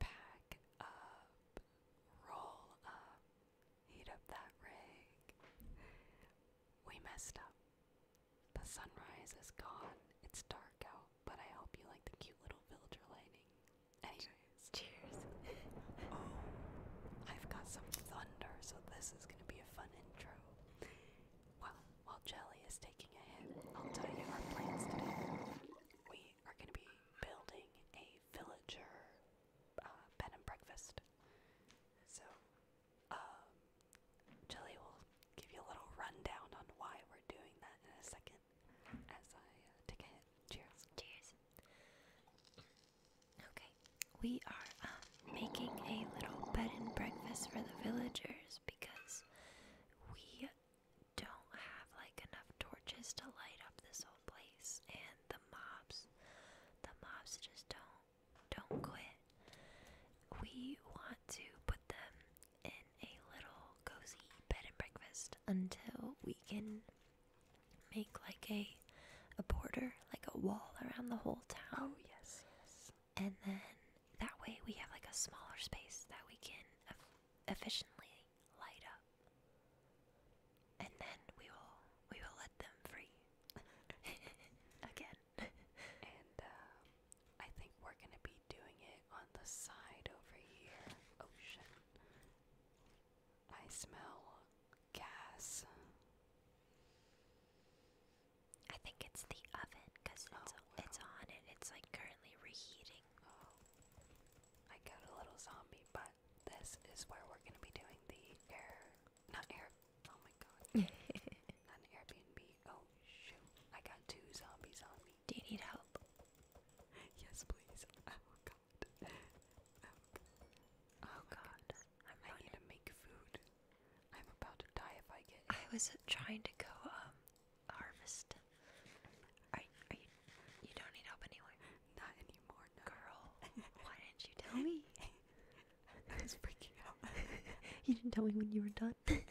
Pack up, roll up, heat up that rig. We messed up. The sunrise is gone. It's dark out, but I hope you like the cute little villager lighting. Anyways, cheers. oh, I've got some thunder, so this is gonna be a fun intro. Well, while Jelly is taking a hit, I'll tell you our plans today. We are going to be building a villager uh, bed and breakfast. So, um, will give you a little rundown on why we're doing that in a second as I uh, take a Cheers. Cheers. Okay, we are um, making a little bed and breakfast for the villagers because we don't have like enough torches to light up this whole place and the mobs the mobs just don't don't quit. We want to put them in a little cozy bed and breakfast until we can make like a a border, like a wall around the whole town. Oh yes, yes. And then that way we have like a smaller space that we can efficiently light up. And then we will we will let them free again. and uh, I think we're gonna be doing it on the side over here. Ocean. I smell gas. I think it's the oven because it's oh, it's on and it's like currently reheating I got a little zombie, but this is where we're gonna be doing the air, not air. Oh my god, not Airbnb. Oh shoot, I got two zombies on Do you need help? Yes, please. Oh god. Oh god. Oh, I'm I to make food. I'm about to die if I get. I was trying to go um harvest. Are, you? You don't need help anyway. Not anymore, Girl, why didn't you tell me? I was freaking out. you didn't tell me when you were done. my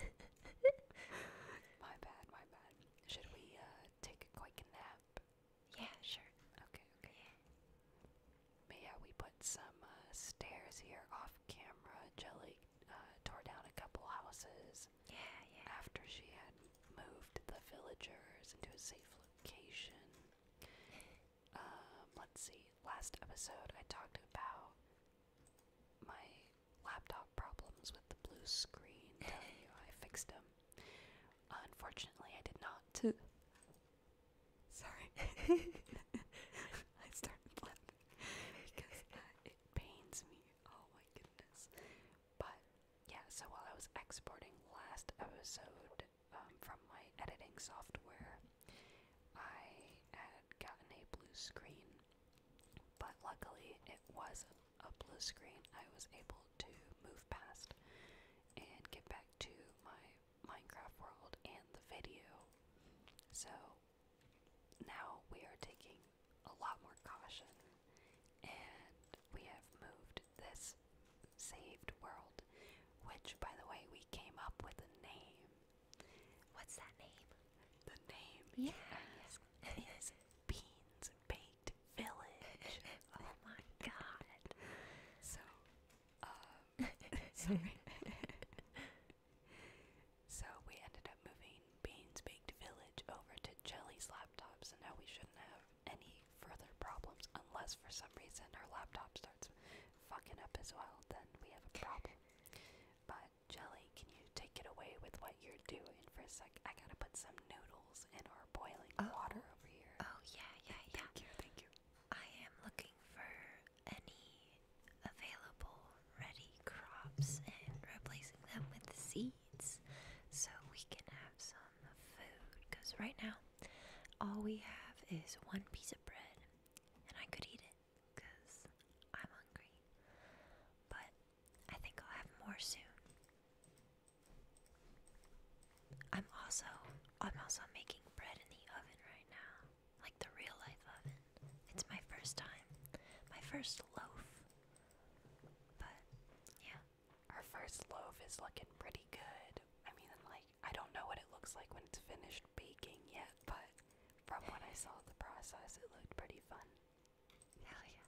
bad, my bad. Should we uh, take a quick nap? Yeah, sure. Okay, okay. Yeah. But we put some uh, stairs here off camera. Jelly uh, tore down a couple houses. Yeah, After she had moved the villagers into a safe location. Um, let's see. Last episode, I talked about my laptop problems with the blue screen. I fixed them. Unfortunately, I did not. To. Sorry. I started laughing because it pains me. Oh my goodness. But yeah, so while I was exporting last episode um, from my editing software, I had gotten a blue screen, but luckily it was a blue screen I was able to move past and get back to my Minecraft world and the video. So now we are taking a lot more caution, and we have moved this saved world, which, by the way, we came up with a name. What's that name? The name, yes, is Beans Baked Village. oh my god. So, um, sorry. so we ended up moving Beans-baked village over to Jelly's laptop, so now we shouldn't have any further problems unless for some reason our laptop starts fucking up as well, then we have a problem. But Jelly, can you take it away with what you're doing for a sec? I gotta put some noodles in our boiling oh. water over here. Oh yeah, yeah, yeah. Thank you, thank you. I am looking for any available ready crops and replacing them with seeds so we can have some food. Because right now, all we have is one piece of bread, and I could eat it because I'm hungry. But I think I'll have more soon. I'm also I'm also making bread in the oven right now. Like the real life oven. It's my first time. My first loaf but yeah, our first loaf is looking pretty good. I mean, like I don't know what it looks like when it's finished baking yet, but from what I saw the process, it looked pretty fun. Hell yeah.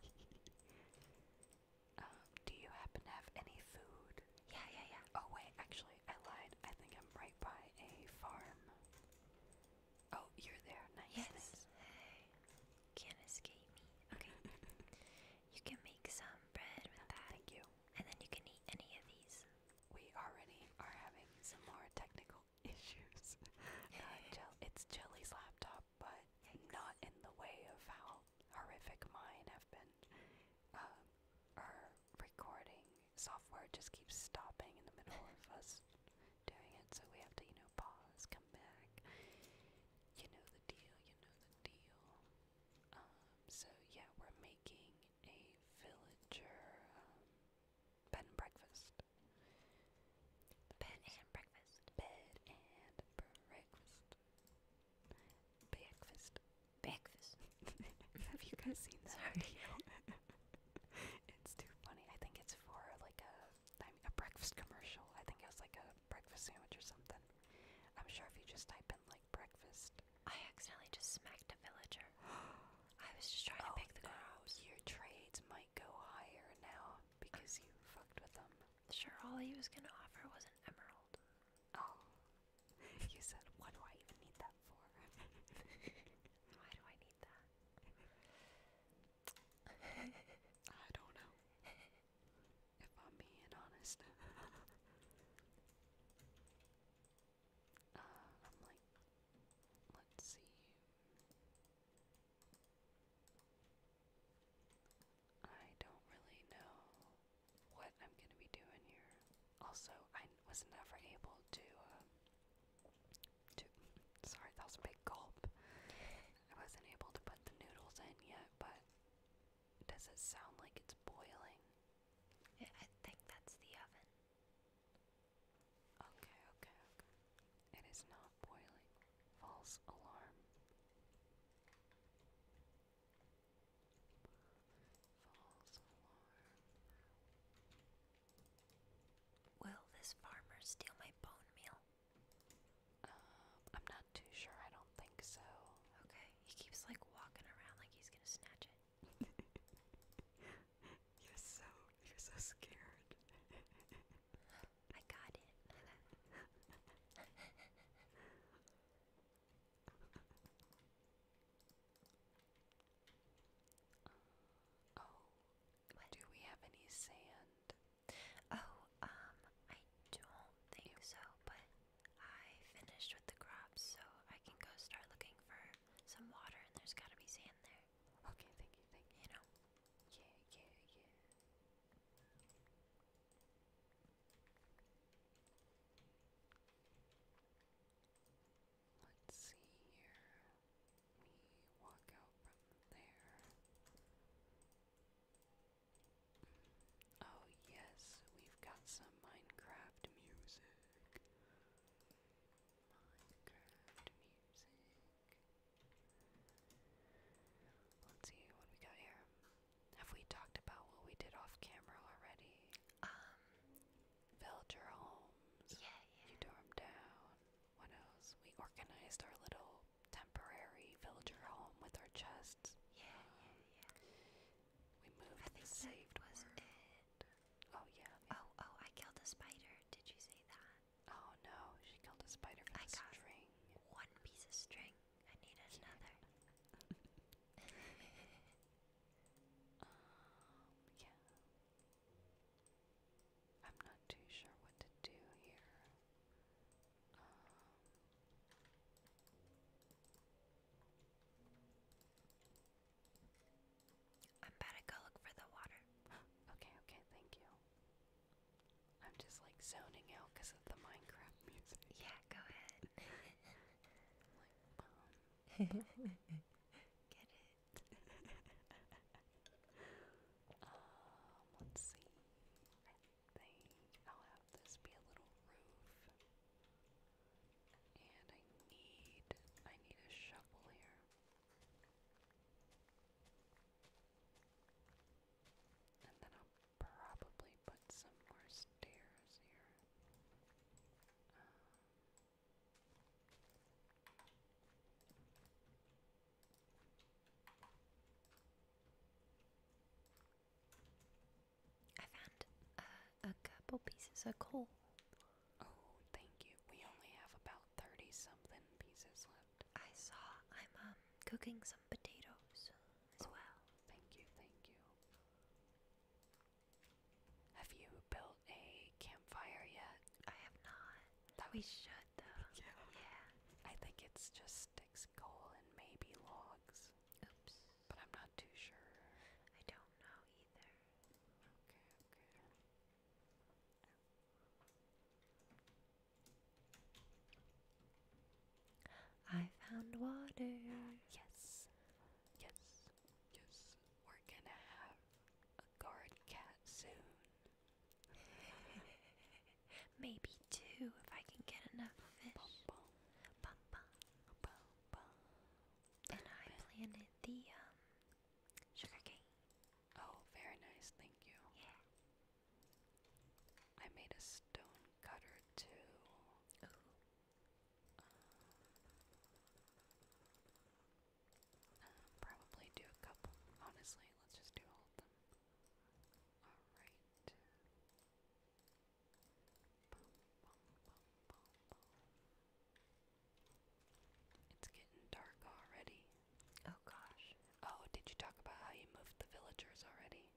Um, do you happen to have any food? Yeah, yeah, yeah. Oh wait, actually, I lied. I think I'm right by a farm. Oh, you're there. Nice. Can't escape me. Okay. you can make some bread without that. Thank you. And then you can eat any of these. We already are having some more technical issues. it's Jelly's laptop, but not in the way of how horrific mine have been. Um, our recording software just keeps stopping in the middle of us doing it, so we have to, you know, pause, come back. You know the deal, you know the deal. Um, so yeah, we're making a villager um, bed and breakfast. Bed and breakfast. Bed and breakfast. Breakfast. Breakfast. Have you guys seen that? Sorry. it's too funny. I think it's for like a I mean, a breakfast commercial. I think it was like a breakfast sandwich or something. I'm sure if you just type in like breakfast. I accidentally just smacked a villager. I was just trying to oh, pick the no. Your trades might go higher now because you fucked with them. Sure, all he was gonna offer was an emerald. Oh. You said, what do I even need that for? Why do I need that? I don't know. If I'm being honest. Uh, I'm like, let's see. I don't really know what I'm gonna be doing here. Also, I was never able to uh, Sorry, that was a big gulp. I wasn't able to put the noodles in yet, but does it sound like it's boiling? I think that's the oven. Okay, okay, okay. It is not boiling. False alarm. False alarm. Will this farmer steal my bone meal? Um, I'm not too sure. I don't think so. Okay. He keeps like walking around like he's gonna snatch it. you're so you're so scared. I got it. Um, oh, do we have any sand? Oh, um, I don't think so, but I finished with the crops, so I can go start looking for some water, and there's gotta be sand there. Okay, thank you, thank you. You know? Yeah, yeah, yeah. Let's see here. We walk out from there. Oh, yes, we've got some Minecraft music. Minecraft music. Let's see what we got here. Have we talked about what we did off camera already? Um. Villager homes. Yeah, yeah. You tore down. What else? We organized our little temporary villager home with our chests. Yeah, We moved I think saved was it. Oh yeah, Oh, oh, I killed a spider. Did you say that? Oh no, she killed a spider with I a string. One piece of string. I need another. Um, yeah. I'm not too sure what to do here. Um, I'm about go look for the water. okay, okay, thank you. I'm just like zoning out because of the Minecraft music. Yeah, go ahead. Um, Get it. Um, let's see. I will have this be a little roof. And I need I need a shovel here. And then I'll probably put some more stairs here. Um, I found a couple pieces of coal. Oh, thank you. We only have about 30 something pieces left. I saw I'm um, cooking some potatoes as oh, well. Thank you, thank you. Have you built a campfire yet? I have not. That we should though. Yeah. I think it's just sticks, coal, and maybe logs. Oops. But I'm not too sure. I don't know either. Okay, okay. I found water. Yes. Yes. Yes. We're gonna have a guard cat soon. Maybe two if I can get enough fish. and I planted the um, sugar cane. Oh, very nice. Thank you. Yeah. I made a stone cutter too. Uh, probably do a couple. Honestly, let's just do all of them. Alright. It's getting dark already. Oh gosh. Oh, did you talk about how you moved the villagers already?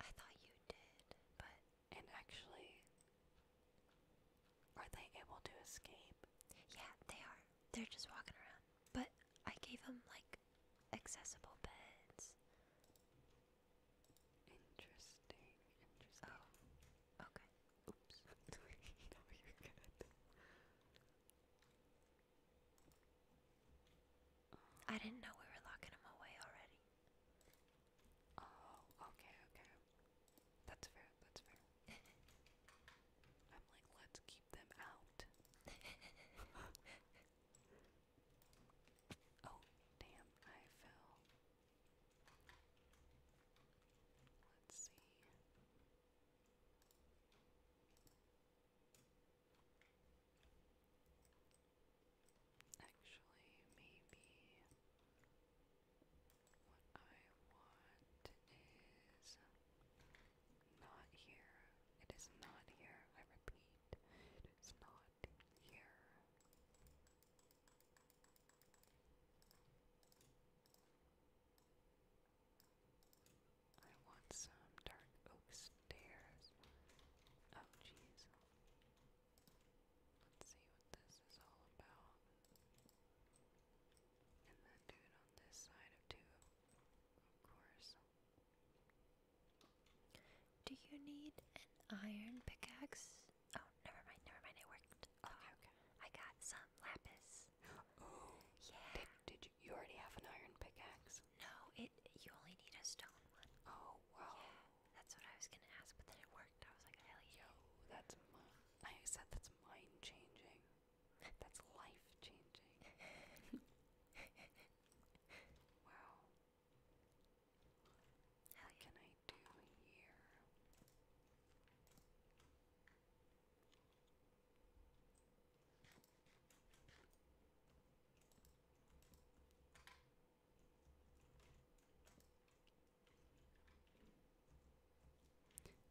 I thought you did, but. And actually, are they able to escape? Yeah, they are. They're just walking around. But I gave him like accessible beds. Interesting. Interesting. Oh. Okay. Oops. I um, didn't know we were locking him away already. Oh, okay, okay. That's fair, that's fair. I'm like, let's keep them out. oh, damn, I fell. Let's see. Actually, maybe what I want is not here. It is not here. I repeat, it is not here. I want some dark oak stairs. Oh, jeez. Let's see what this is all about. And that dude on this side of two, of course. Do you need an iron pickaxe? Oh, never mind, never mind. It worked. Oh, okay, I got some lapis. Oh, yeah. Did, you, you already have an iron pickaxe? No, it. You only need a stone one. Oh wow. that's what I was gonna ask, but then it worked. I was like, hell yeah. Yo, that's. I said that's mind changing. That's life changing. wow. How can I do here?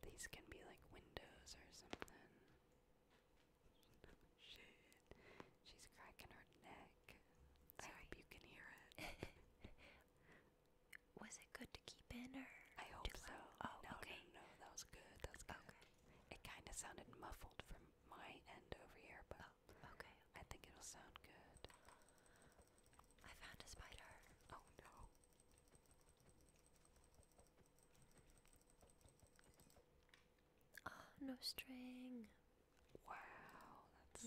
These can be like windows or something. She's cracking her neck. I hope you can hear it. was it good to keep in I hope so. Oh, okay. No, that was good. That good. It kind of sounded muffled from my end over here, but oh, okay. I think it'll sound good. I found a spider. Oh no. Oh, no string. Wow, that's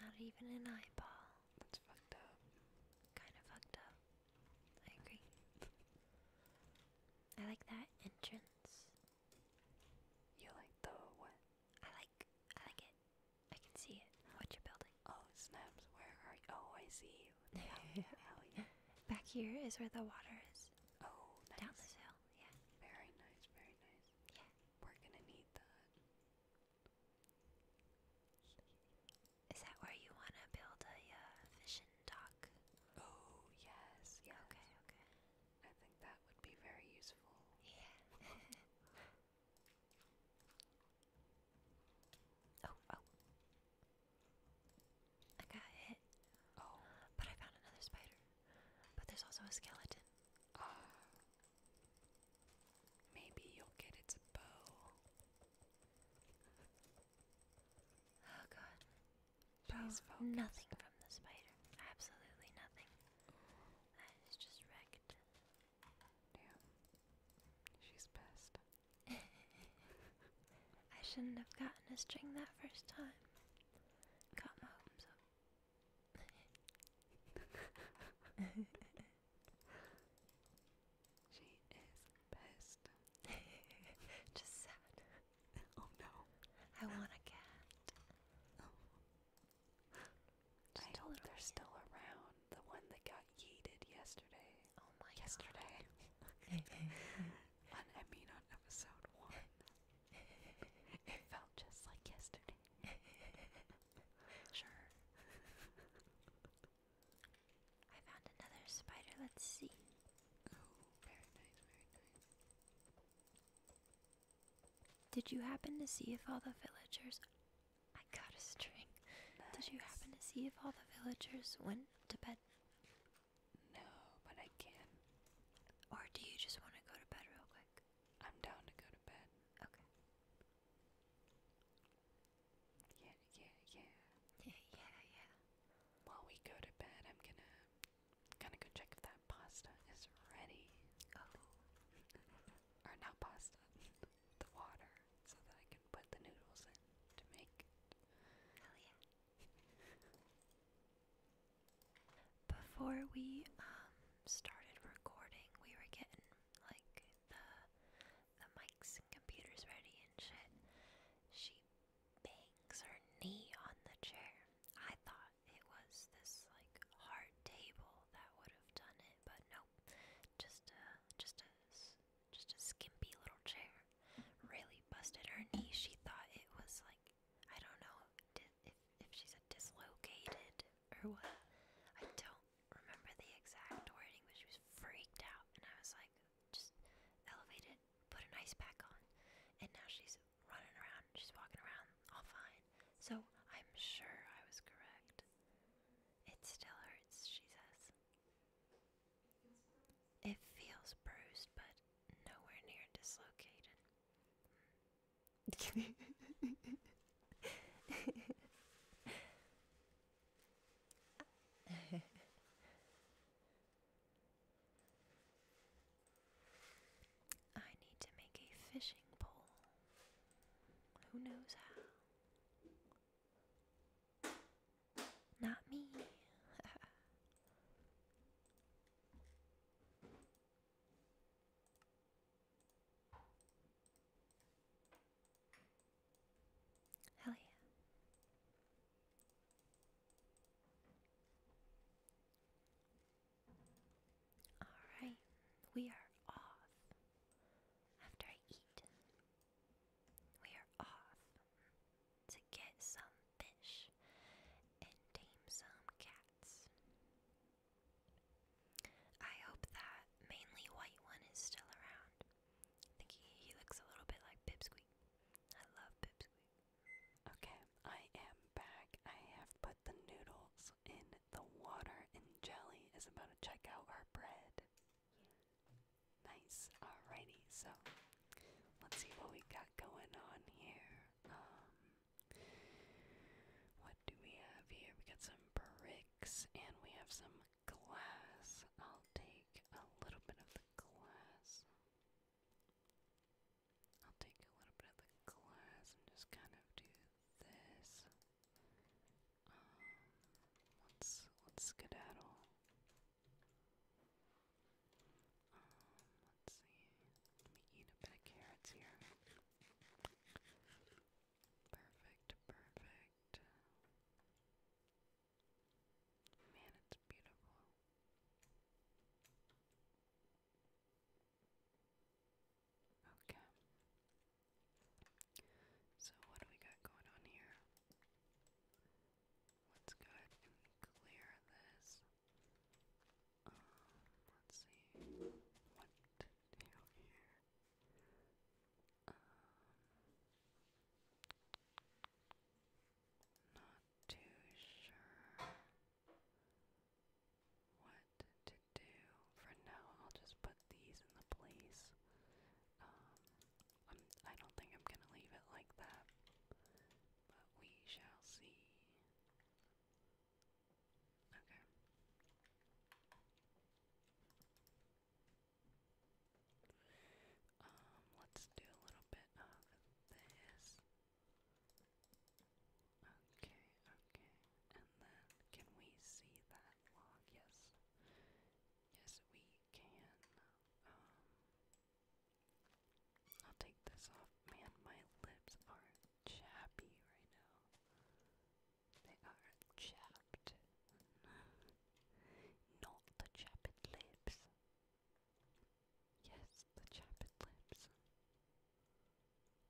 Not even an eyeball. That's fucked up. Kinda fucked up. I agree. I like that entrance. You like the what? I like I like it. I can see it. What you building? Oh snaps, where are you? Oh I Back here is where the water is. Oh, Down this hill, yeah. Very nice, very nice. Yeah. We're gonna need that. Is that where you wanna build a uh, fishing dock? Oh, yes, yes. Okay, okay. I think that would be very useful. Yeah. oh. oh. I got hit. Oh. But I found another spider. But there's also a skeleton. Ah. maybe you'll get its bow. Oh god. Please oh, Nothing from the spider. Absolutely nothing. That is just wrecked. Damn. She's pissed. I shouldn't have gotten a string that first time. Got my she is pissed. Just sad. Oh no. I want a cat. Oh. Just I they're still around. The one that got yeeted yesterday. Oh yesterday. God. on on episode one. it felt just like yesterday. sure. I found another spider. Let's see. very nice, very nice. Did you happen to see if all the villagers. I got a string. Did you happen to see if all the villagers went to bed? No, but I can. Or do you just want to go to bed real quick? I'm down to go to bed. Okay. Yeah, yeah, yeah. Yeah, yeah, yeah. While we go to bed, I'm gonna gonna go check if that pasta is ready. Oh. or not pasta. the water. So that I can put the noodles in to make it. yeah. Before we um started recording, we were getting like the the mics and computers ready and shit. She bangs her knee on the chair. I thought it was this like hard table that would have done it, but nope. Just a just a just a skimpy little chair. Really busted her knee. She thought it was like I don't know if if she said dislocated or what. I don't remember the exact wording, but she was freaked out, and I was like, just elevate it, put an ice pack on, and now she's running around. She's walking around all fine. So I'm sure I was correct. It still hurts, she says. It feels bruised, but nowhere near dislocated. I need to make a fishing pole. Who knows how? Not me. Hell yeah. All right, we are off. After I eat, we are off to get some fish and tame some cats. I hope that mainly white one is still around. I think he, he looks a little bit like Pipsqueak. I love Pipsqueak. Okay, I am back. I have put the noodles in the water and Jelly is about to check out our bread. Nice. Alrighty, so let's see what we got going on here. Um, what do we have here? We got some bricks and we have some glass. I'll take a little bit of the glass. I'll take a little bit of the glass and just kind of do this. Um, let's let's skedaddle. Um, let's see. Let me eat a bit of carrots here. Perfect, perfect. Man, it's beautiful. Okay. So, what do we got going on here? Let's go ahead and clear this. Um, let's see what to do here. Um, not too sure what to do. For now, I'll just put these in the place. Um, I'm, I do not think I'm gonna leave it like that, but we shall see. Okay. Um, let's do a little bit of this. Okay, okay. And then, can we see that log? Yes. Yes, we can. Um, I'll take this off. Man, my lips are chappy right now. They are chapped. Not the chapped lips. Yes, the chapped lips.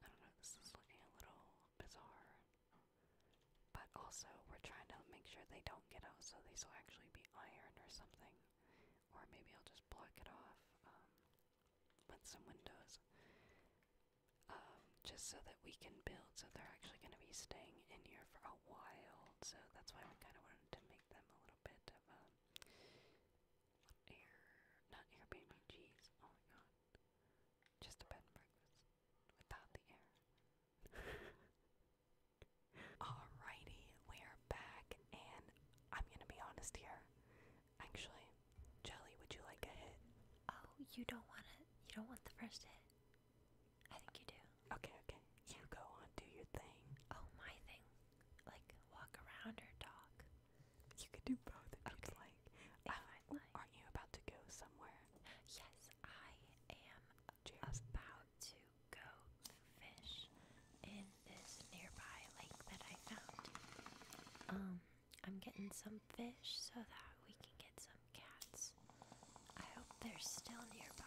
I don't know, this is looking a little bizarre. But also, we're trying to make sure they don't get out so these will actually be iron or something. Or maybe I'll just block it off um, with some windows. Um, just so that we can build, so they're actually going to be staying in here for a while. So that's why I kind of wanted to make them a little bit of um, air, not Airbnb, jeez, oh my god. Just a bed and breakfast without the air. Alrighty, we are back, and I'm gonna be honest here. Actually, Jelly, would you like a hit? Oh, you don't want it. You don't want the first hit. I think you do. Okay, okay. You go on, do your thing. Oh, my thing. Like walk around or talk. You could do both if you'd like. If um, I'd like. Aren't you about to go somewhere? Yes, I am about to go fish in this nearby lake that I found. Um, I'm getting some fish so that we can get some cats. I hope they're still nearby.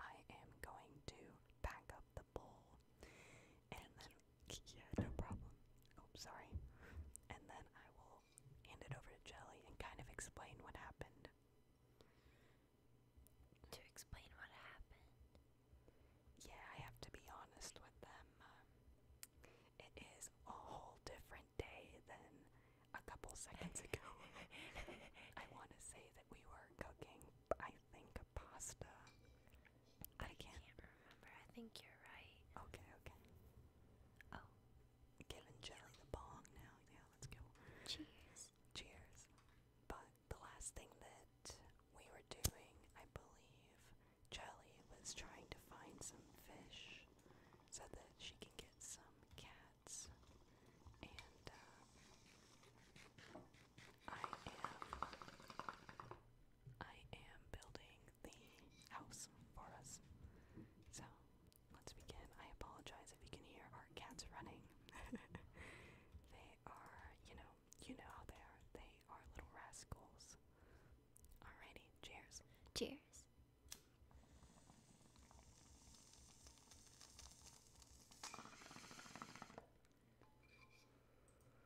I am going to pack up the bowl yeah, no problem. Oh, sorry. And then I will hand it over to Jelly and kind of explain what happened. To explain what happened. Yeah, I have to be honest with them. Um, it is a whole different day than a couple seconds ago. I want to say that we were cooking, I think, pasta? I, can't, remember. I think you're right. Okay, okay. Oh. Giving Jelly the bong now. Yeah, let's go. Cheers. Cheers. But the last thing that we were doing, I believe, Jelly was trying to find some fish so that she can get some cats. And, uh, I am I am building the house for us. So let's begin. I apologize if you can hear our cats running. they are, you know, you know how they are. They are little rascals. Alrighty, cheers. Cheers.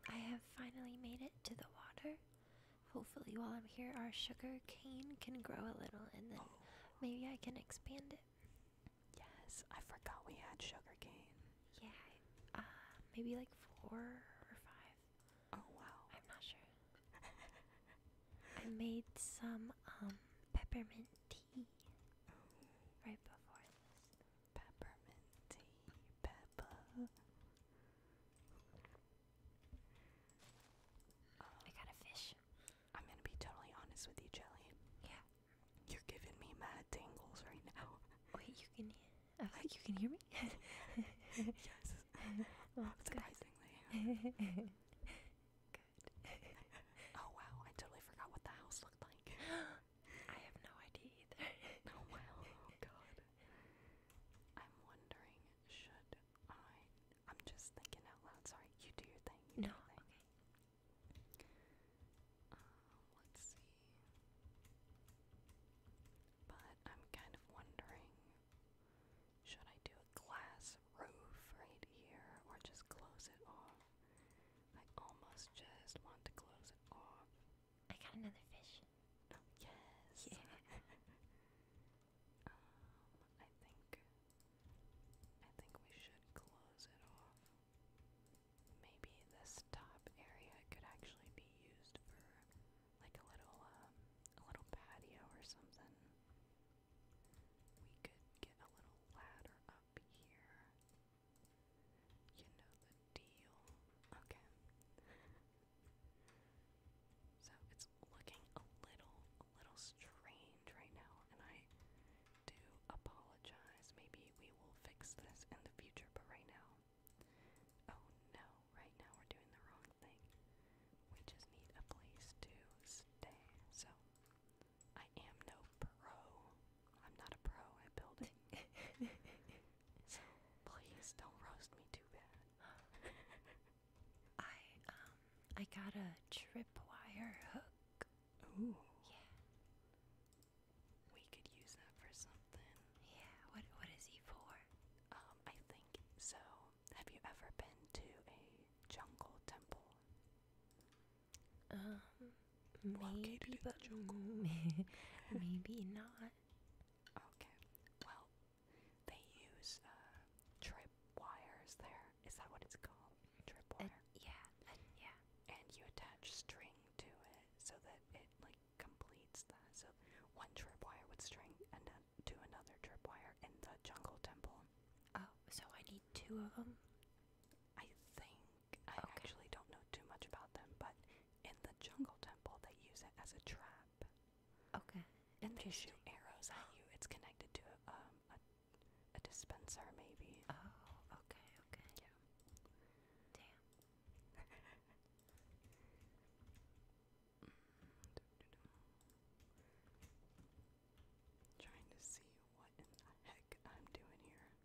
I have finally made it to the water. Hopefully, while I'm here, our sugar cane can grow a little and then oh. maybe I can expand it. Yes, I forgot we had sugar cane. Yeah, uh, maybe like four or five. Oh, wow. I'm not sure. I made some um, peppermint tea oh. right before this. Peppermint tea, Peppa. Um, I got a fish. I'm gonna be totally honest with you, Jelly. Yeah. You're giving me mad tingles right now. Wait, you can hear? Uh, oh, like, you can hear me? yes. Surprisingly. good. oh wow! I totally forgot what the house looked like. I have no idea either. oh well, oh god. I'm wondering, should I? I'm just thinking out loud. Sorry, you do your thing. no, um, let's see. But I'm kind of wondering, should I do a glass roof right here, or just close it off? I almost just want to close it off. I got another fish. yes. Um, I think I think we should close it off. Maybe this top area could actually be used for like a little um, a little patio or something. We could get a little ladder up here. You know the deal. Okay. so it's looking a little, a little strange right now, and I do apologize. Maybe we will fix this in the future, but right now, oh no, right now we're doing the wrong thing. We just need a place to stay. So I am no pro I'm not a pro at building. so please don't roast me too bad. I um I got a tripwire hook. Ooh. Yeah. We could use that for something. Yeah, what what is he for? Um, I think so. Have you ever been to a jungle temple? Um, Located maybe, maybe not. Okay. Well, they use uh, trip wires there. Is that what it's called? Trip uh, wire. yeah. Uh, yeah. And you attach string to it so that it like completes that. So one trip wire would string and uh, to another trip wire in the jungle temple. Oh, so I need two of them. I think I okay. actually don't know too much about them, but in the jungle temple, they use it as a trap. Okay. And they shoot arrows at you. It's connected to a, um, a, a dispenser, maybe. Oh, okay, okay. Yeah. Damn. mm, do, do, do. Trying to see what in the heck I'm doing here.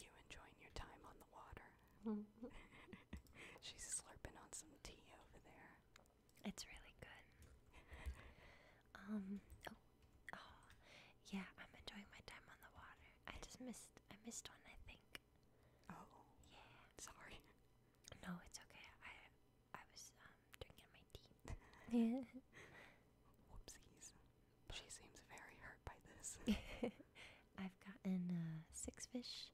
You enjoying your time on the water? She's slurping on some tea over there. It's really good. um. Oh, oh. Yeah, I'm enjoying my time on the water. I just missed. I missed one. I think. Oh. Yeah. Sorry. No, it's okay. I I was um drinking Whoopsies. She seems very hurt by this. I've gotten uh, six fish,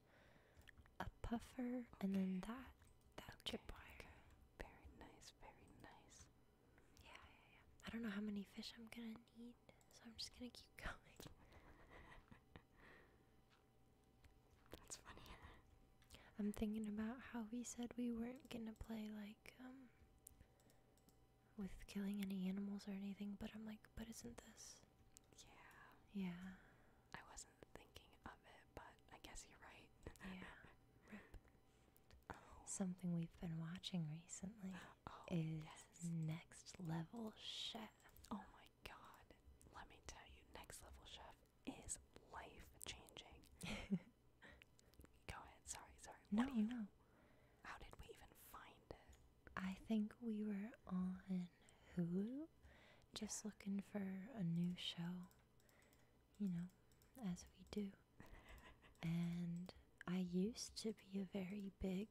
a puffer, and then that that okay, tripwire. Very nice, very nice. yeah, yeah. I don't know how many fish I'm gonna need, so I'm just gonna keep going. That's funny. I'm thinking about how we said we weren't gonna play like um with killing any animals or anything, but I'm like, but isn't this? Yeah. Yeah. I wasn't thinking of it, but I guess you're right. yeah. Oh. Something we've been watching recently oh, is Next Level Chef. Oh my god. Let me tell you, Next Level Chef is life changing. Go ahead. Sorry, sorry. No, what How did we even find it? I think we were on Hulu, just looking for a new show. You know, as we do. and I used to be a very big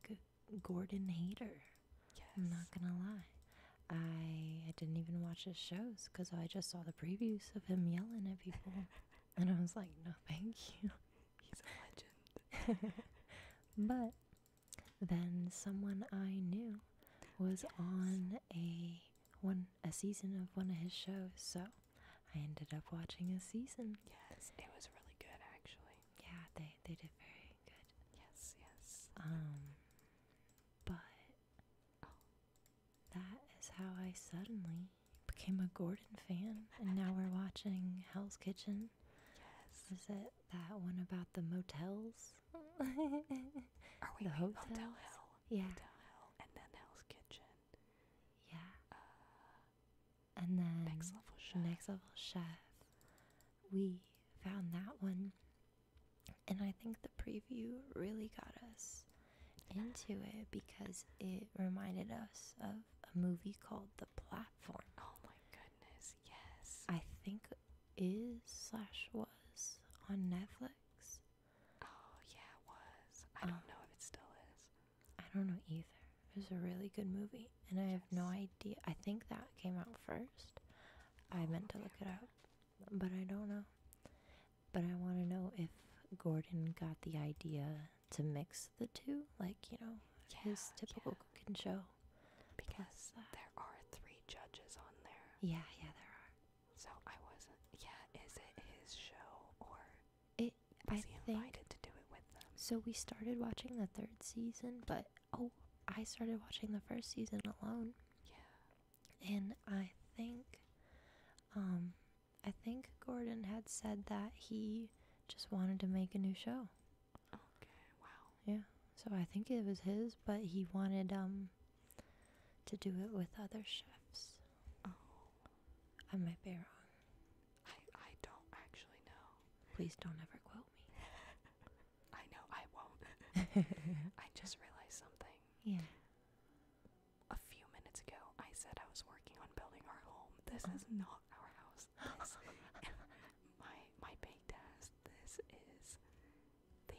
Gordon hater. Yes. I'm not gonna lie. I I didn't even watch his shows because I just saw the previews of him yelling at people. And I was like, no, thank you. He's a legend. but then someone I knew was on a one a season of one of his shows, so I ended up watching a season. Yes, it was really good actually. Yeah, they they did very good. Yes, yes. Um but oh that is how I suddenly became a Gordon fan, and now we're watching Hell's Kitchen. Yes. Is it that one about the motels? Are we the Hotel Hell? Yeah. and then Hell's Kitchen. Yeah. Uh, and then Next Level Chef. Next Level Chef. We found that one, and I think the preview really got us into it because it reminded us of a movie called The Platform. Oh my goodness, yes. I think is slash was on Netflix. Oh yeah, it was. I don't um, know if it still is. I don't know either. It was a really good movie and I have no idea. I think that came out first. I meant to look it up, but I don't know. But I want to know if Gordon got the idea to mix the two, like, you know, his typical cooking show. Because uh, there are three judges on there. Yeah, yeah, there are. So I wasn't. Yeah, is it his show or it, I he think, to do it with them? So we started watching the third season, but oh, I started watching the first season alone. Yeah. And I think um I think Gordon had said that he just wanted to make a new show. Okay, wow. Yeah. So I think it was his, but he wanted um to do it with other chefs. Oh. I might be wrong. I I don't actually know. Please don't ever quote me. I know I won't. I just realized something. Yeah a few minutes ago, I said I was working on building our home. This is not our house. This, my my baked This is the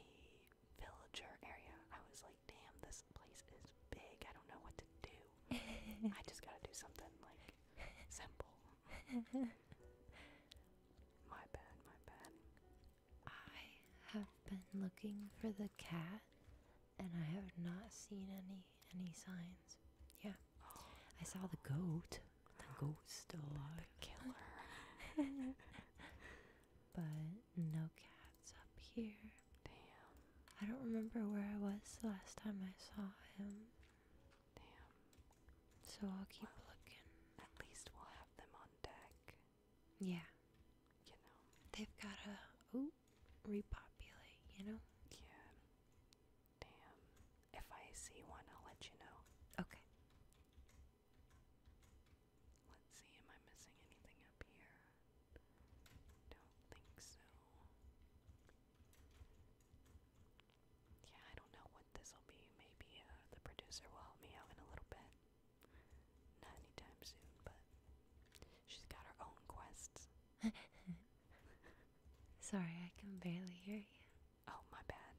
villager area. I was like, damn, this place is big. I don't know what to do. I just gotta do something like simple. my bad, my bad. I have been looking for the cat and I have not seen any any signs. Yeah, I saw the goat. The goat still alive. The killer. but no cats up here. Damn. I don't remember where I was the last time I saw him. Damn. So I'll keep looking. At least we'll have them on deck. Yeah. You know. They've got a. Oh, repopulate, you know? Yeah. Damn. If I see one, I'll let you know. Okay. Let's see, am I missing anything up here? Don't think so. Yeah, I don't know what this will be. Maybe uh, the producer will help me out in a little bit. Not anytime soon, but She's got her own quests. Sorry, I can barely hear you. Oh, my bad.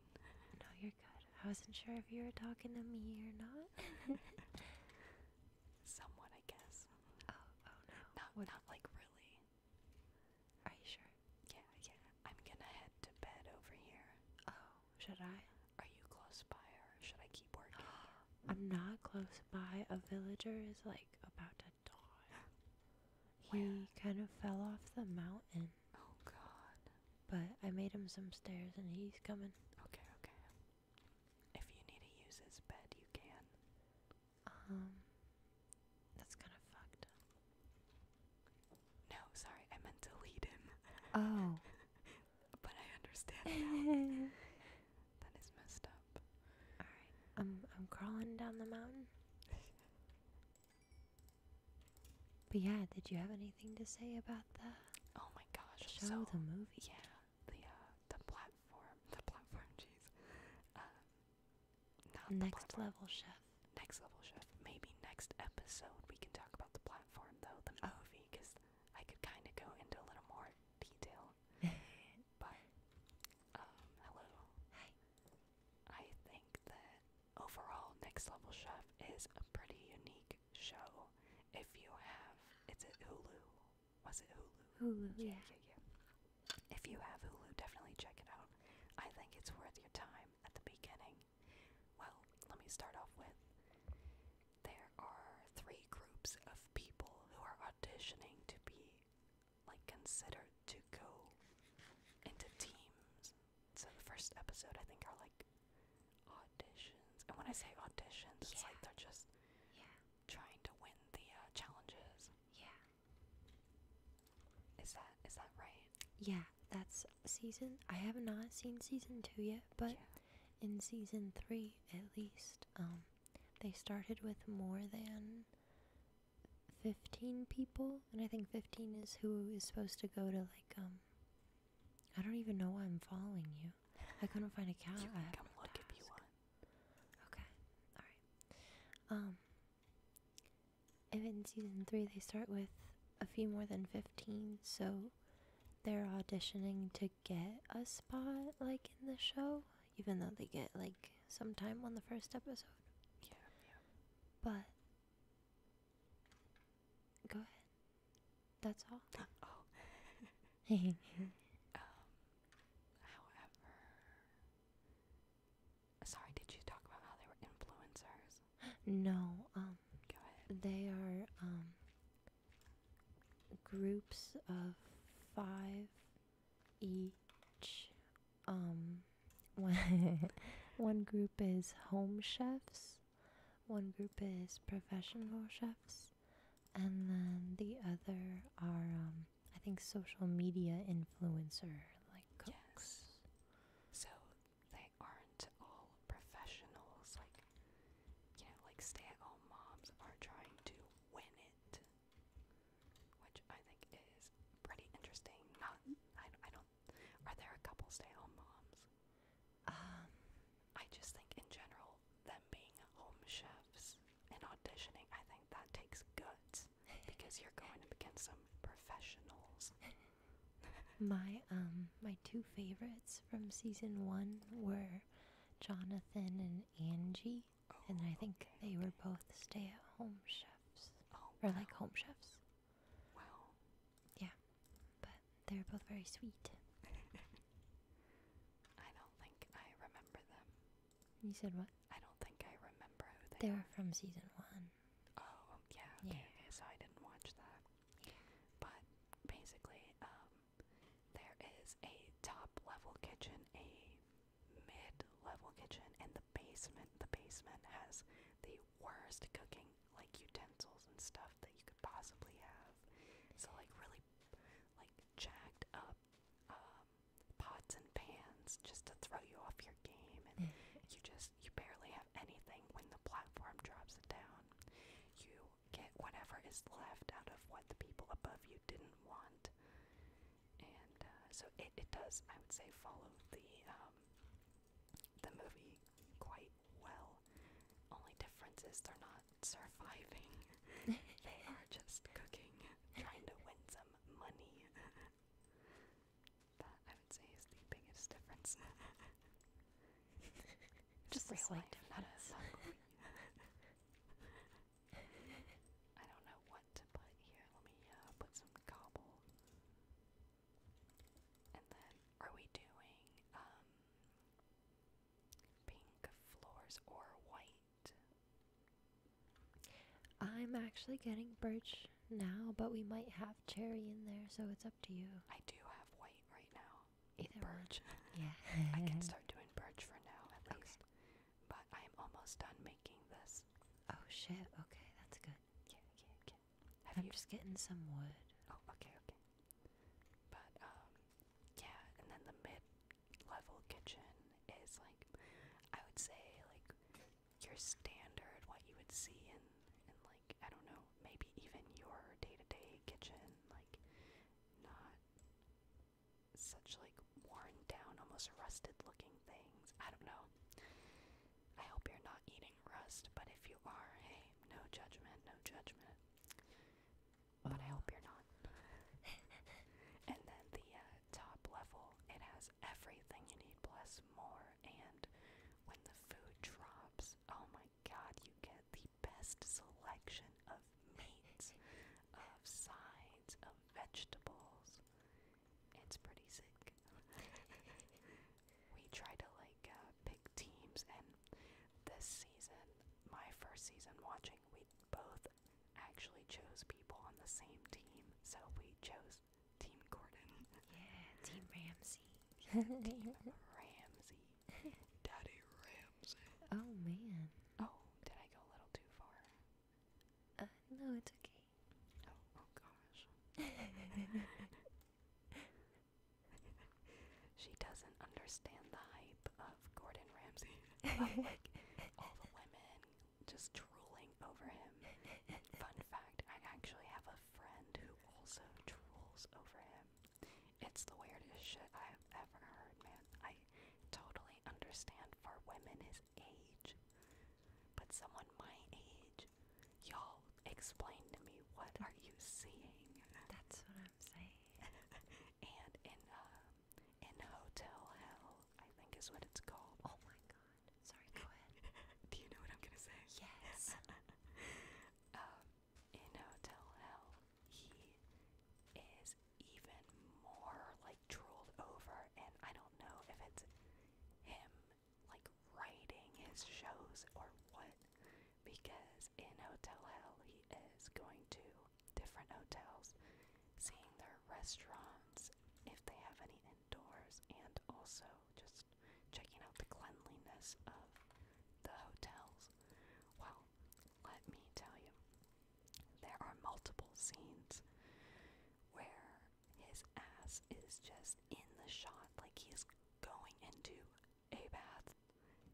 No, you're good. I wasn't sure if you were talking to me or not. Someone, I guess. Oh, oh no. Not, what? not like really. Are you sure? Yeah, yeah. I'm gonna head to bed over here. Oh, should I? Are you close by or should I keep working? I'm not close by. A villager is like about to die. He kind of fell off the mountain. Oh god. But I made him some stairs and he's coming. Okay, okay. If you need to use his bed, you can. Um that's kind of fucked. No, sorry, I meant to lead him. Oh. but I understand now. That is messed up. Alright, I'm I'm crawling down the mountain. but yeah, did you have anything to say about the Oh my gosh, show the movie? Yeah. The uh the platform the platform, jeez. Uh not next level chef. Next level chef. Maybe next episode we can talk about the platform though, the oh. movie, because I could kinda go into a little more detail. But um, hello. Hi. I think that overall Next Level Chef is a pretty unique show. If you have it's at Hulu. Was it Hulu? Hulu. yeah, yeah. yeah. If you have Hulu, definitely check it out. I think it's worth your time at the beginning. Well, let me start off with there are three groups of people who are auditioning to be like considered to go into teams. So the first episode I think are like auditions. And when I say auditions, it's like they're just yeah. trying to win the uh, challenges. Yeah. Is that is that right? Yeah, that's season. I have not seen season 2 yet, but in season 3 at least um they started with more than 15 people, and I think 15 is who is supposed to go to like um. I don't even know why I'm following you. I couldn't find a count. You can come look if you want. Okay, all right. Um, and in season three, they start with a few more than 15, so they're auditioning to get a spot like in the show, even though they get like some time on the first episode. Yeah, yeah. But go ahead. That's all. oh. um, however, sorry, did you talk about how they were influencers? No. Um. Go ahead. They are um groups of five each. Um, one, one group is home chefs, one group is professional chefs, and then the other are, um, I think, social media influencer like cooks. Yes. So they aren't all professionals, like, you know, like stay at home moms are trying to win it, which I think is pretty interesting. Not, I, I don't. Are there a couple stay-home moms? Um, I just think in general, them being home chefs and auditioning, I think that takes guts because you're going up against some professionals. my um, my two favorites from season one were Jonathan and Angie, oh, and I think they were both stay-at-home chefs, oh, or like home chefs. Wow. Yeah, but they were both very sweet. I don't think I remember them. You said what? I don't think I remember who they. were from season one. Oh yeah. Okay, yeah. okay so I didn't watch that. Yeah. But basically, um, there is a top level kitchen, a mid level kitchen, and the basement. The basement has the worst cooking, like utensils and stuff that you could possibly have. So, like, really, like, jacked up um, pots and pans just to throw you off your game, and mm. you just, you barely have anything when the platform drops it down. You get whatever is left out of what the people above you didn't want. And uh, so it, it does, I would say, follow the um, the movie quite well. Only difference is they're not surviving; they are just cooking, trying to win some money. that I would say is the biggest difference. just a slight, difference. I don't know what to put here. Let me uh, put some cobble. And then, are we doing um, pink floors or white? I'm actually getting birch now, but we might have cherry in there, so it's up to you. I do have white right now either birch. Yeah. I can start doing birch for now at least. But I am almost done making this. Oh shit. Okay, that's good. Yeah, yeah, yeah. I'm just getting some wood. Oh, okay, okay. But um yeah, and then the mid level kitchen is like I would say like your standard what you would see in in like I don't know, maybe even your day to -day kitchen like not such like worn down, almost rusted looking things. I don't know. I hope you're not eating rust, but if you are, hey, no judgment, no judgment. But I hope you're not. and then the uh, top level, it has everything you need plus more. And when the food drops, oh my god, you get the best selection of meats, of sides, of vegetables. It's pretty sick. we try to like uh, pick teams, and this season, my first season watching, we both actually chose people on the same team. So we chose Team Gordon. Yeah, Team Ramsey. Team Ramsey. Daddy Ramsay. Oh man. Oh, did I go a little too far? Uh, no, it's okay. Oh, oh gosh. she doesn't understand the hype of Gordon Ramsay. of like all the women just drooling over him. Fun fact, I actually have a friend who also drools over him. It's the weirdest shit I've ever heard, man. I totally understand for women his age. But someone my age, y'all explain to me what are you seeing? That's what I'm saying. and in um, in Hotel Hell, I think is what it's called. Oh my god. Sorry, go ahead. Do you know what I'm gonna say? Yes. um, in Hotel Hell, he is even more like drooled over, and I don't know if it's him like writing his shows or what, because in Hotel Hell he is going to different hotels, seeing their restaurants if they have any indoors, and also just checking out the cleanliness of the hotels. Well, let me tell you, there are multiple scenes where his ass is just in the shot, like he's going into a bath,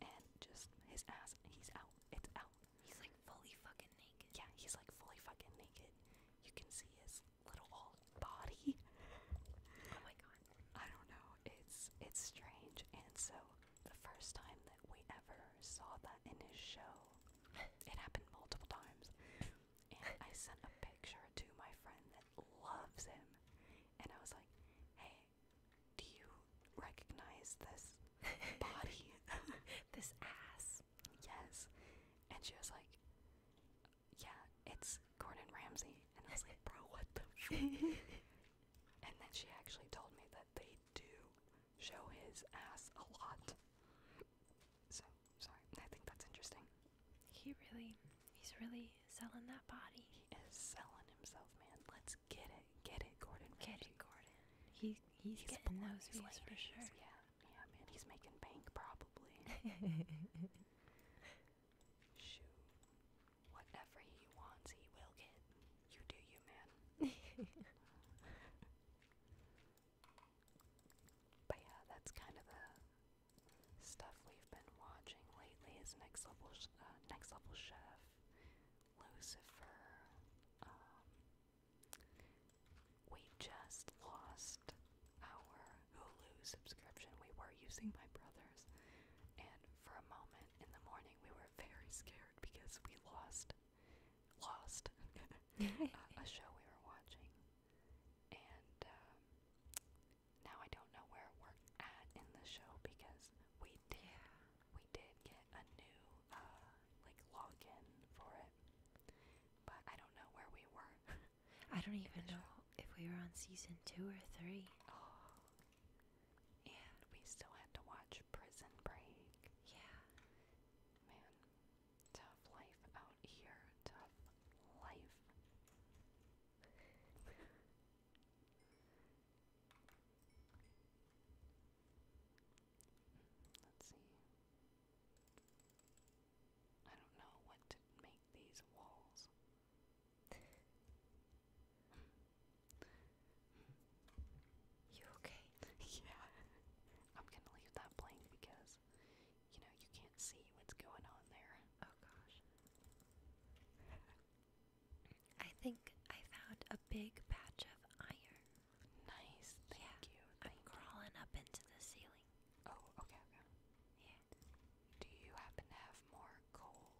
and just his ass, he's out. It's out. He's like fully fucking naked. Yeah, he's like fully fucking naked. You can see his little old body. Oh my god. I don't know. It's it's strange, and so the first time that we ever saw that in his show. It happened multiple times. And I sent a picture to my friend that loves him. And I was like, hey, do you recognize this body? this ass? Yes. And she was like, yeah, it's Gordon Ramsay. And I was like, bro, what the fuck? and then she actually told me that they do show his ass a lot. So, sorry. I think that's interesting. He really, he's really selling that body. He is selling himself, man. Let's get it, get it, Gordon. Get it, Gordon. He, he's, he's getting those views ladies. for sure. Yeah, yeah, man. He's making bank probably. Shoot, whatever he wants, he will get. You do you, man. but yeah, that's kind of the stuff we've been watching lately is Next Level, uh, Next Level Chef, Lucifer, um, we just lost our Hulu subscription. We were using my brother's, and for a moment in the morning we were very scared hard because we lost, lost a, a show we were watching, and um, now I don't know where we're at in the show because we did, yeah. we did get a new uh, like login for it, but I don't know where we were. I don't even know show. if we were on season two or three. Oh, and we still had to watch Prison Break. Yeah. Man, tough life out here. Tough life. Let's see. I don't know what to make these walls. Hmm. You okay? yeah. I'm gonna leave that blank because, you know, you can't see what's going on there. Oh gosh. I think I found a big patch of iron. Nice. yeah, I'm crawling up into the ceiling. Oh, okay, Yeah. Do you happen to have more coal?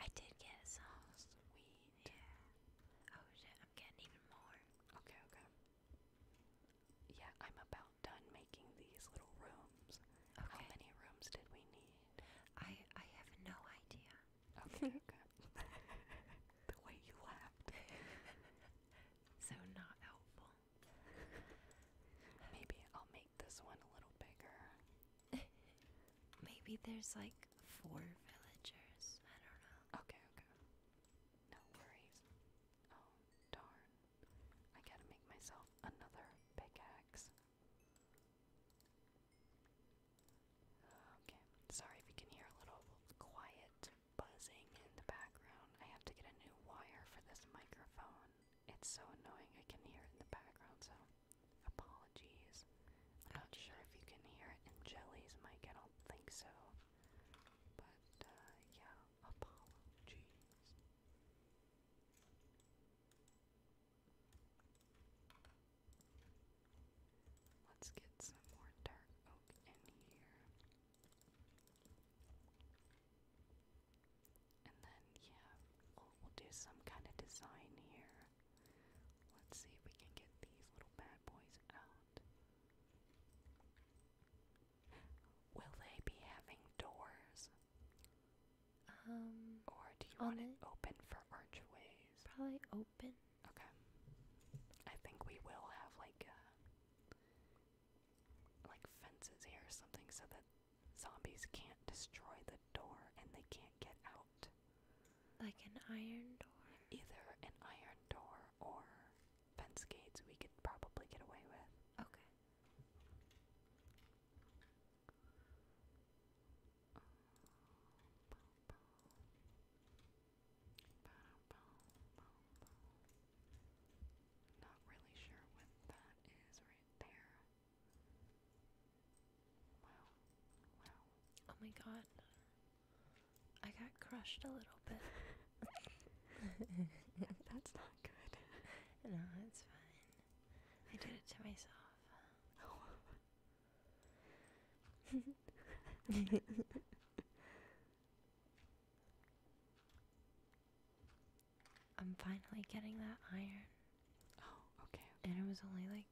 I did get some. Sweet. Yeah. Oh shit, I'm getting even more. Okay, okay. Yeah, I'm about done making these little rooms. How many rooms did we need? I I have no idea. Okay, okay. the way you laughed. so not helpful. Maybe I'll make this one a little bigger. Maybe there's like four villagers. I don't know. Okay, okay. No worries. Oh, darn. I gotta make myself another pickaxe. Okay, sorry if you can hear a little quiet buzzing in the background. I have to get a new wire for this microphone. It's so annoying, I can hear it in the background, so Apologies. I'm not sure if you can hear it in Jelly's mic. I don't think so. But, uh, yeah, apologies. Let's get some more dark oak in here. And then, yeah, we'll do some kind of design here. Let's see if we can get these little bad boys out. Will they be having doors? Um. Or do you want it open for archways? Probably open. Okay. I think we will have like uh, like fences here or something so that zombies can't destroy the door and they can't get out like an iron door? Either an iron door or fence gates we could probably get away with. Okay. Not really sure what that is right there. Wow. Wow. Oh my god. I got crushed a little bit. That's not good. No, it's fine. I did it to myself. I'm finally getting that iron. Oh, okay. And it was only like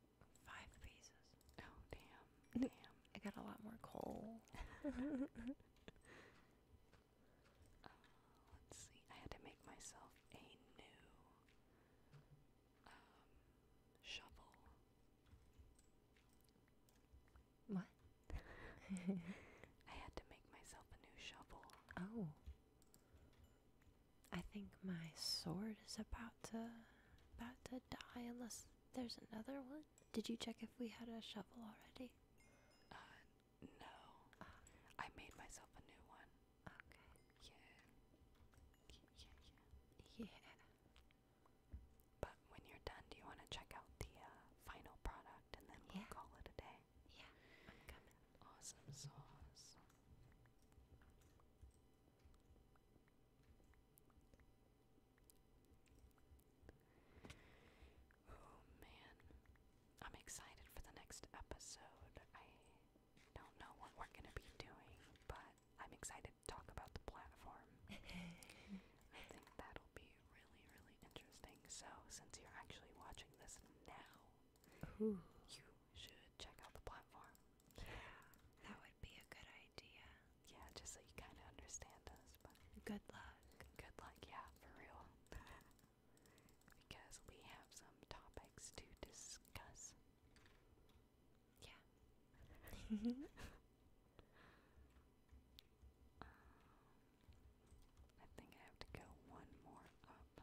Five pieces. Oh damn! Damn! I got a lot more coal. Oh, let's see. I had to make myself a new um, shovel. What? I had to make myself a new shovel. Oh. I think my sword is about to about to die unless there's another one. Did you check if we had a shovel already? Uh no. Ah. I made myself a new one. Okay. Yeah. Yeah, yeah. Yeah. But when you're done, do you want to check out the uh, final product and then we'll call it a day? Yeah. i Awesome sauce. Oh man. I'm excited for the next episode. I don't know what we're going to be doing, but I'm excited to talk about the platform. I think that'll be really, really interesting. So, since you're actually watching this now, you should check out the platform. That would be a good idea. Yeah, just so you kind of understand us. But good luck. Good luck, yeah, for real. because we have some topics to discuss. Yeah. um, I think I have to go one more up.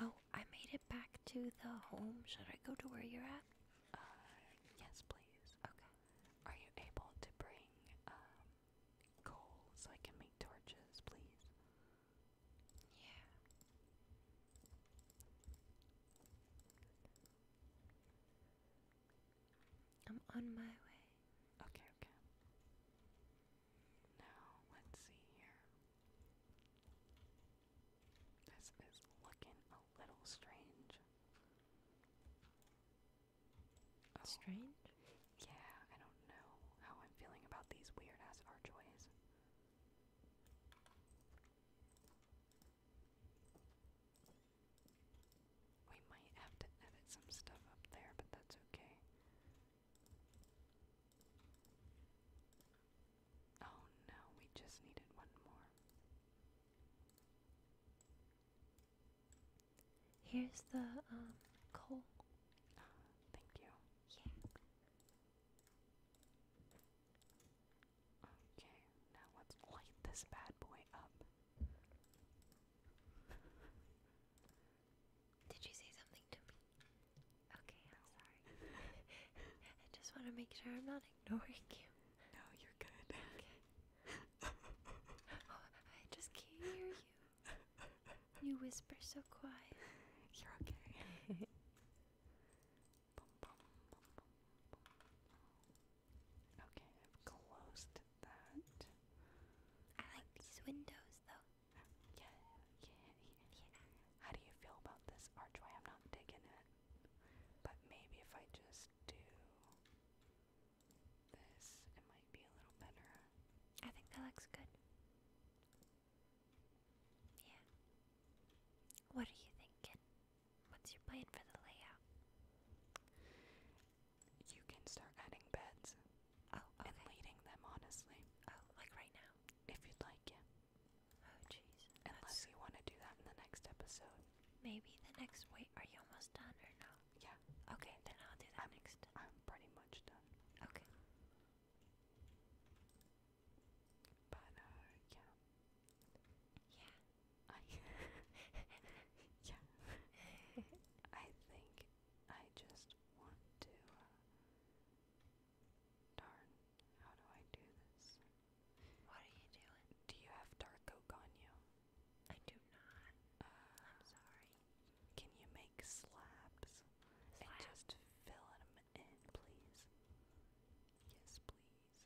Oh, I made it back to the home. Should I go to where you're at? Uh, yes, please. Okay. Are you able to bring um, coal so I can make torches, please? Yeah. I'm on my way. Okay, okay. Now, let's see here. This is looking a little strange. Oh. Strange? Yeah, I don't know how I'm feeling about these weird ass archways. We might have to edit some stuff up there, but that's okay. Oh no, we just needed one more. Here's the um coal. Uh, thank you. Okay, now let's light this bad boy up. Did you say something to me? Okay, I'm sorry. I just want to make sure I'm not ignoring you. No, you're good. Okay. oh, I just can't hear you. You whisper so quiet. You're okay. Okay, I've closed that. I like these windows though. Yeah, yeah, yeah, How do you feel about this archway? I'm not digging it. But maybe if I just do this, it might be a little better. I think that looks good. Yeah. What are you thinking? What's your plan for the layout? You can start adding beds. Oh, okay. And leading them, honestly. Oh, like right now? if you'd like, yeah. Oh jeez. Unless you want to do that in the next episode. Maybe the next. Wait, are you almost done or no? Yeah. Okay, then I'll do that next. I'm pretty much done. Okay. But uh, yeah. Yeah. yeah. I think I just want to. Uh, Darn, how do I do this? What are you doing? Do you have dark oak on you? I do not. Uh, I'm sorry. Can you make slabs? just fill them in, please. Yes, please.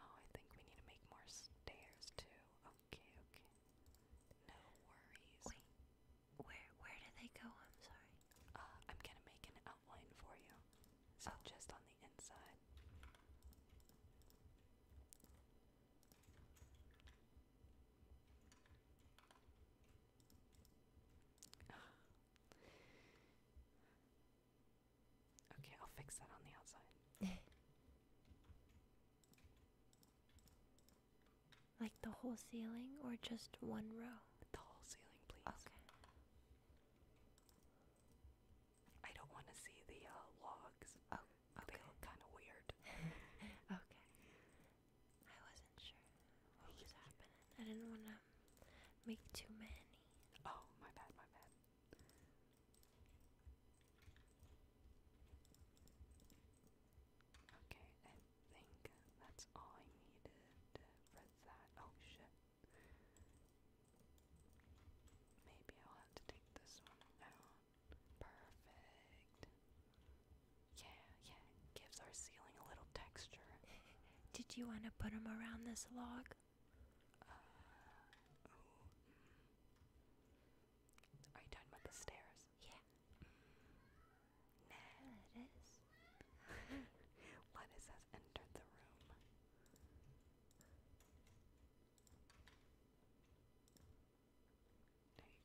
Oh, I think we need to make more stairs too. Okay, okay. No worries. where where do they go? I'm sorry. Uh, I'm gonna make an outline for you. So oh. just on the inside. okay, I'll fix that on the outside. Like the whole ceiling or just one row? The whole ceiling, please. Okay. I don't want to see the uh, logs. Oh, They look kind of weird. okay. I wasn't sure what was happening. I didn't want to make too many. Oh, my bad, my bad. Okay, think that's all I needed for that. Oh shit. Maybe I'll have to take this one out. Perfect. Yeah, yeah, gives our ceiling a little texture. Did you want to put them around this log? Uh, oh, mm. Are you talking about the stairs? Yeah. Mm. it is. Lettuce has entered the room.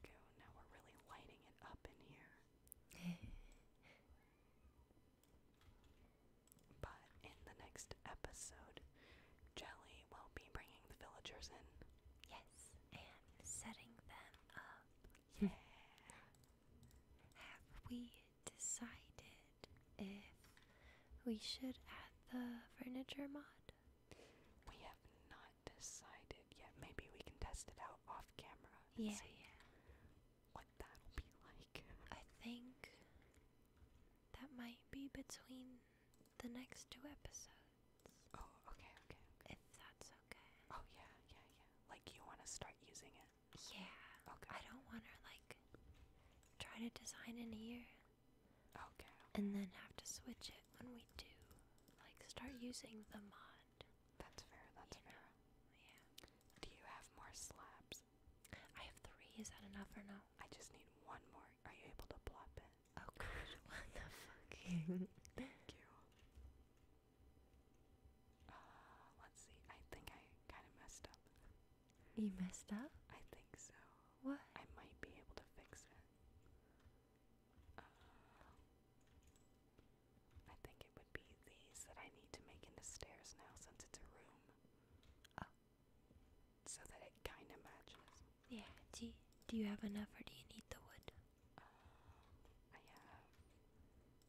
There you go. Now we're really lighting it up in here. but in the next episode, Jelly will be bringing the villagers in. Yes, and setting them up. Yeah. Have we decided if we should add the furniture mod? We have not decided yet. Maybe we can test it out off camera. yeah. What that'll be like. I think that might be between the next two episodes. Oh, okay, okay, If that's okay. Oh yeah, yeah, yeah. Like you want to start using it. Yeah. Okay. I don't want to like try to design in here. Okay, And then have to switch it when we do. Like start using the mod. That's fair. That's fair. Yeah. Do you have more slabs? I have three. Is that enough or no? I just need one more. Are you able to plop it? Oh gosh, what the fuck? Thank you. Uh, let's see. I think I kind of messed up. You messed up? I think so. What? I might be able to fix it. Uh, I think it would be these that I need to make into stairs now since it's a room. Oh. So that it kind of matches. Yeah. Do you, do you have enough or do you need the wood?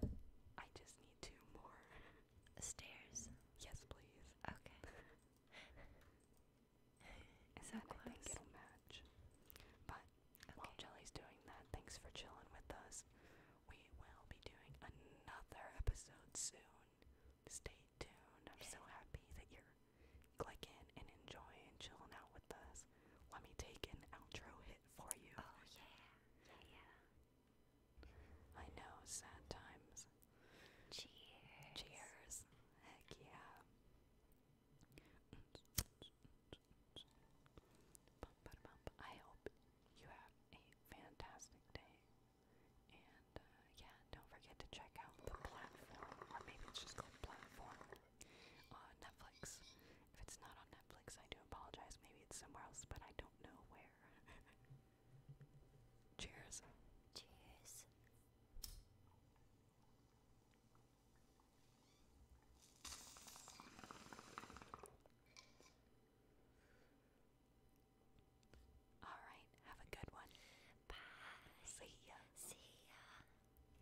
Um, I just need two more. Stairs? Yes, please. Okay. and so then I think it But while Jelly's doing that, thanks for chilling with us. We will be doing another episode soon. Stay tuned. I'm so happy that you're clicking and enjoying chilling out with us. Let me take an outro hit for you. Oh, yeah. Yeah, yeah. I know, sad times. Cheers. Cheers. Heck yeah. I hope you have a fantastic day. And uh, yeah, don't forget to check out the platform, or maybe just called platform on Netflix. If it's not on Netflix, I do apologize. Maybe it's somewhere else, but I don't know where. Cheers. Cheers. All right, have a good one. Bye. See ya. See ya.